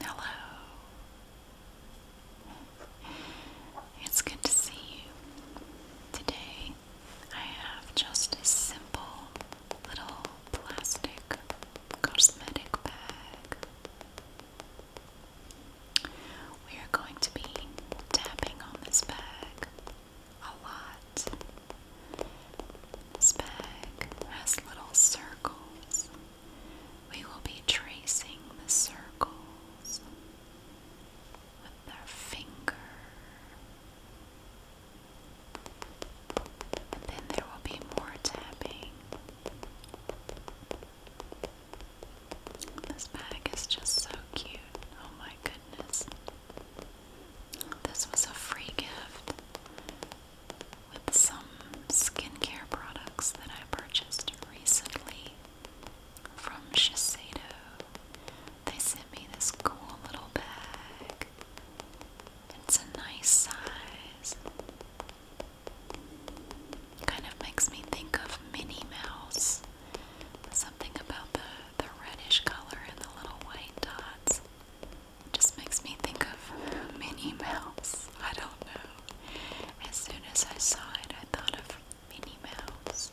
Hello. It's good to see you. Today I have just a simple little plastic cosmetic bag we are going to be tapping on this bag a lot. This bag has little circles. We will be tracing the circles with our finger. And then there will be more tapping. This bag is just so cute. Oh my my goodness. This was a free gift with some skincare products that I purchased recently from Shiseido. They sent me this cool little bag. It's a nice size. Kind of makes me think of Minnie Mouse. Something about the, the reddish color and the little white dots just makes me think of Minnie Mouse. I don't know. As soon as I saw it, I thought of Minnie Mouse.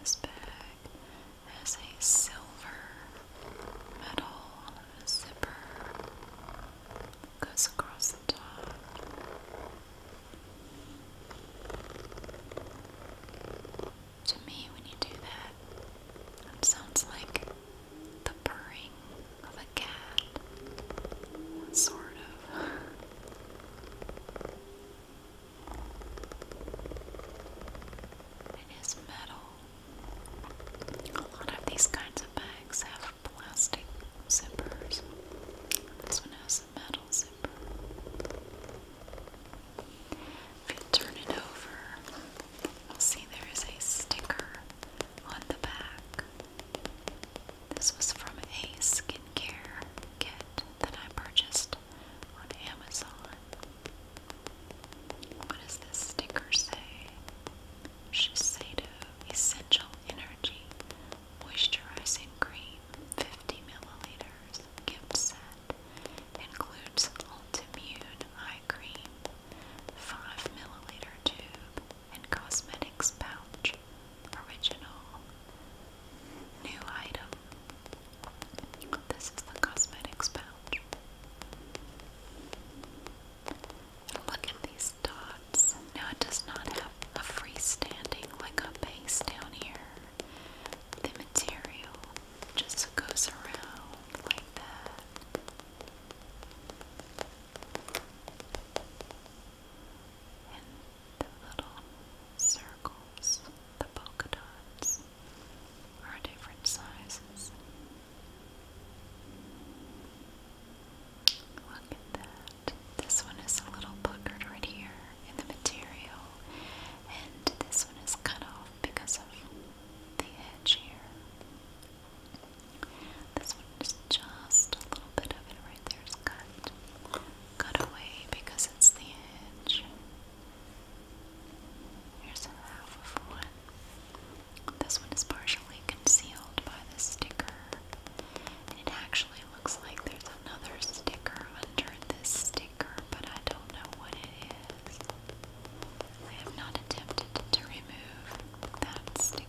This bag has a silver metal zipper. Goes across the top. To me, when you do that, it sounds like the purring of a cat. Sort of. It is metal. A lot of these kinds of bags have plastic zippers. This one has a metal zipper. If you turn it over, you'll see there is a sticker on the back. This was from a skincare kit that I purchased on Amazon. What does this sticker say? Shiseido Essential Energy Moisturizing Cream 50 milliliters gift set set includes Ultimmune Eye Cream, 5ml tube, and cosmetics pouch, original. New item. This is the cosmetics pouch. Look at these dots. Now it does not have a freestanding like a base down here the material just goes around like that. And the little circles, the polka dots, are different sizes. Look at that. This one is a little puckered right here in the material, and this one is cut off because of the edge here. This one is just a little bit of it right there is cut, cut away because it's the edge. Here's half of one. This one is partially concealed by the sticker, it actually looks like there's another sticker under this sticker, but I don't know what it is. I have not attempted to remove that sticker.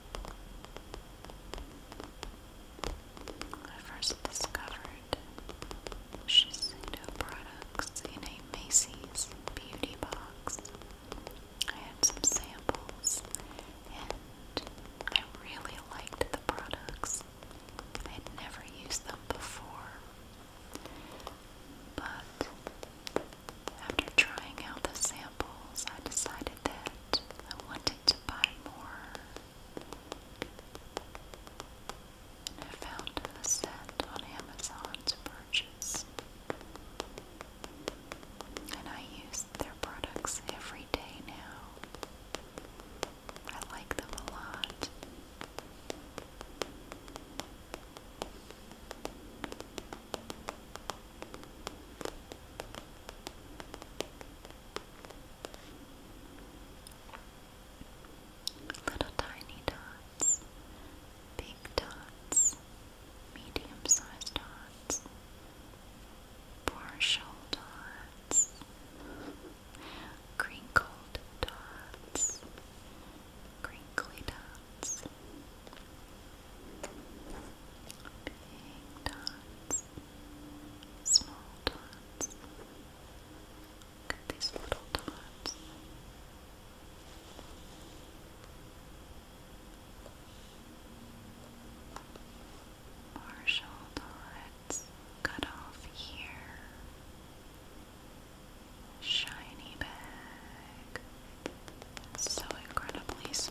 I first discovered Shiseido products in a Macy's beauty box. I had some samples and I really liked the products. I had never used them before, but after trying out the samples, I decided that I wanted to buy more. And I found a set on Amazon to purchase. And I use their products every day now. I like them a lot. Little tiny dots, big dots, medium sized dots, partial dots, crinkled dots, crinkly dots. Big dots. Small dots. Look at these little dots. Partial dots cut off here. Shiny bag so incredibly smooth.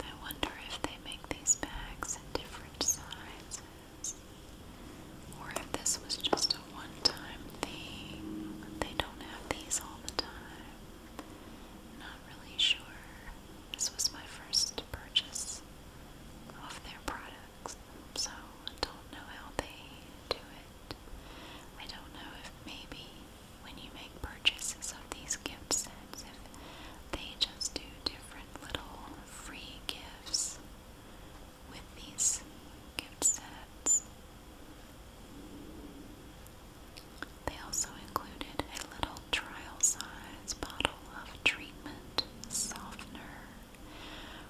I wonder if they make these bags in different sizes or if this was just a one time thing. They don't have these all the time. Not really sure. This was my first purchase of their products so I don't know how they do it. I don't know if maybe when you make purchases of these gift sets, if they just do different little free gifts with these gift sets. They also included a little trial size bottle of treatment softener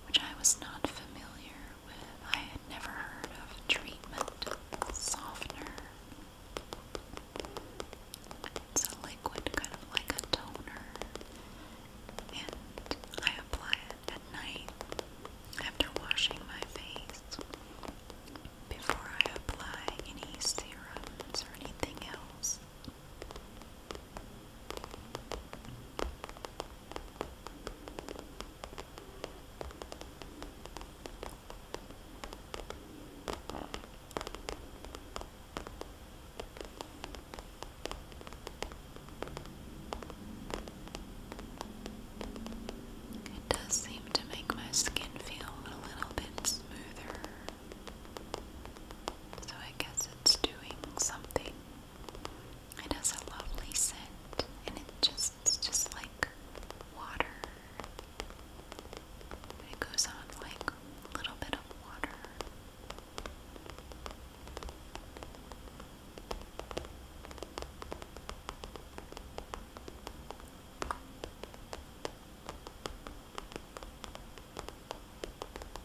which I was not familiar with. I had never heard of treatment softener. It's a liquid, kind of like a toner, and I apply it at night after washing my face before I apply any serums or anything else. It does seem to make my skin feel a little bit smoother. So I guess it's doing something it has a lovely scent and it just it's just like water. It goes on like a little bit of water.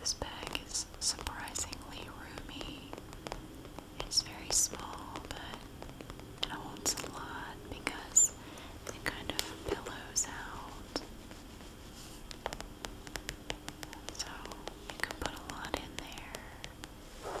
This bag is surprisingly roomy. It's very small, but it holds a lot because it kind of billows out. So you can put a lot in there.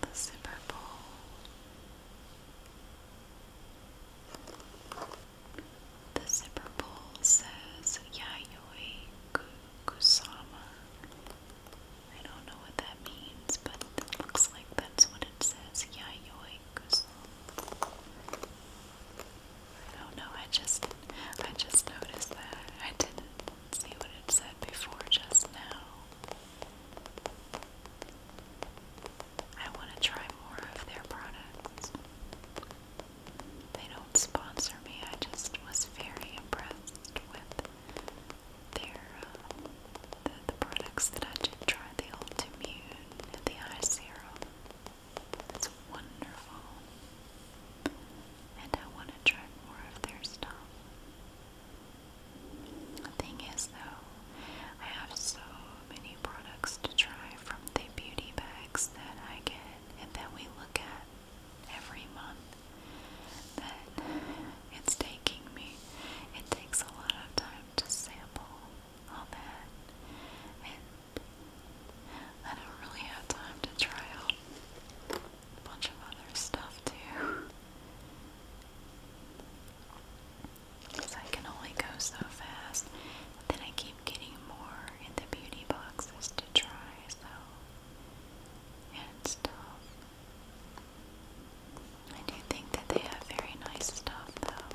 The zipper bowl the zipper pull says Yayoi Kusama. I don't know what that means, but it looks like that's what it says. Yayoi Kusama. I don't know, I just I just noticed that. I didn't see what it said before just now. I want to try more of their products. They don't sponsor me, I just was very impressed with their, uh, the, products that I did try, the Ultimune and the Eye Serum. It's wonderful. And I want to try more of their stuff. The thing is, though, I have so many products to try from the beauty bags that I get and that we look at every month that it's taking me. It takes a lot of time to sample all that and I don't really have time to try out a bunch of other stuff too because I can only go so fast. But then I keep getting more in the beauty boxes to try, so it's tough. I do think that they have very nice stuff, though.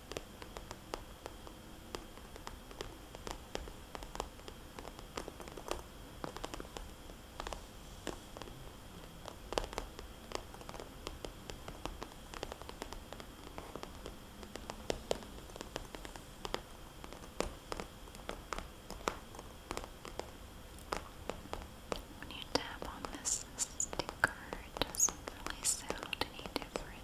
When you tap on this sticker, it doesn't really sound any different.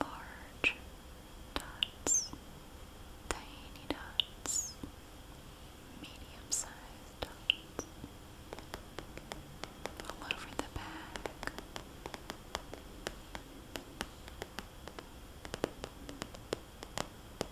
large dots, tiny dots, medium sized dots all over the back.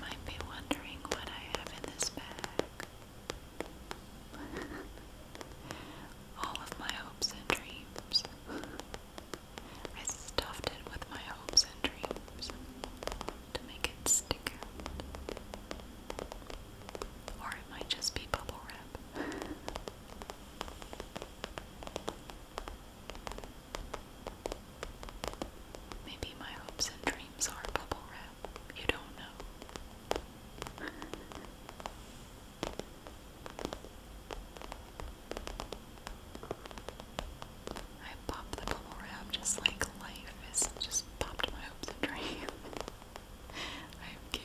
Might be wondering what I have in this bag. All of my hopes and dreams. I stuffed it with my hopes and dreams to make it stick out. Or it might just be bubble wrap. Maybe my hopes and dreams are bubble wrap. You don't know. I popped the bubble wrap just like life is just popped my hopes and dreams. I'm kidding.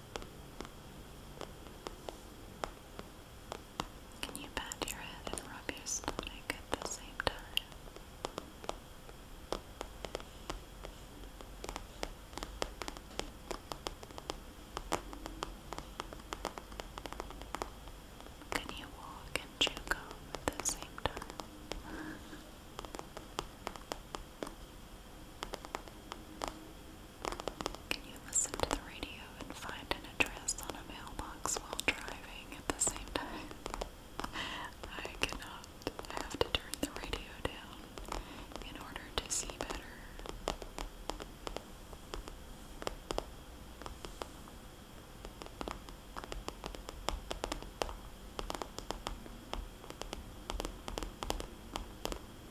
Can you pat your head and rub your stomach at the same time? Can you walk and chew gum at the same time? Can you listen to the radio and find an address on a mailbox while driving at the same time? I cannot. I have to turn the radio down in order to see better. I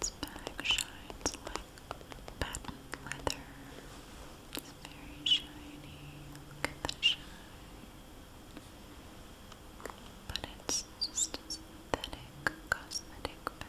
This bag shines like patent leather. It's very shiny. Look at the shine. But it's just synthetic cosmetic bag.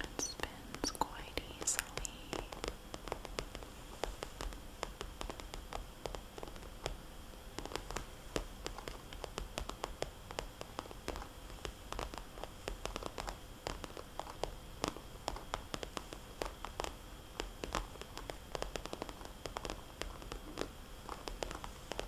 It spins quite easily. It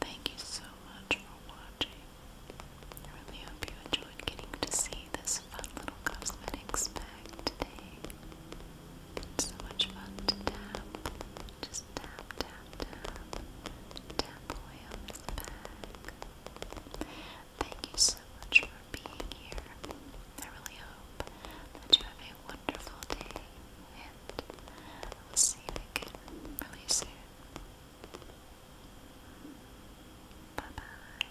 Thank you so much for watching. I really hope you enjoyed getting to see this fun little cosmetics bag today. It's so much fun to have, to Thank you so much for being here. I really hope that you have a wonderful day, and I will see you again really soon. Bye bye.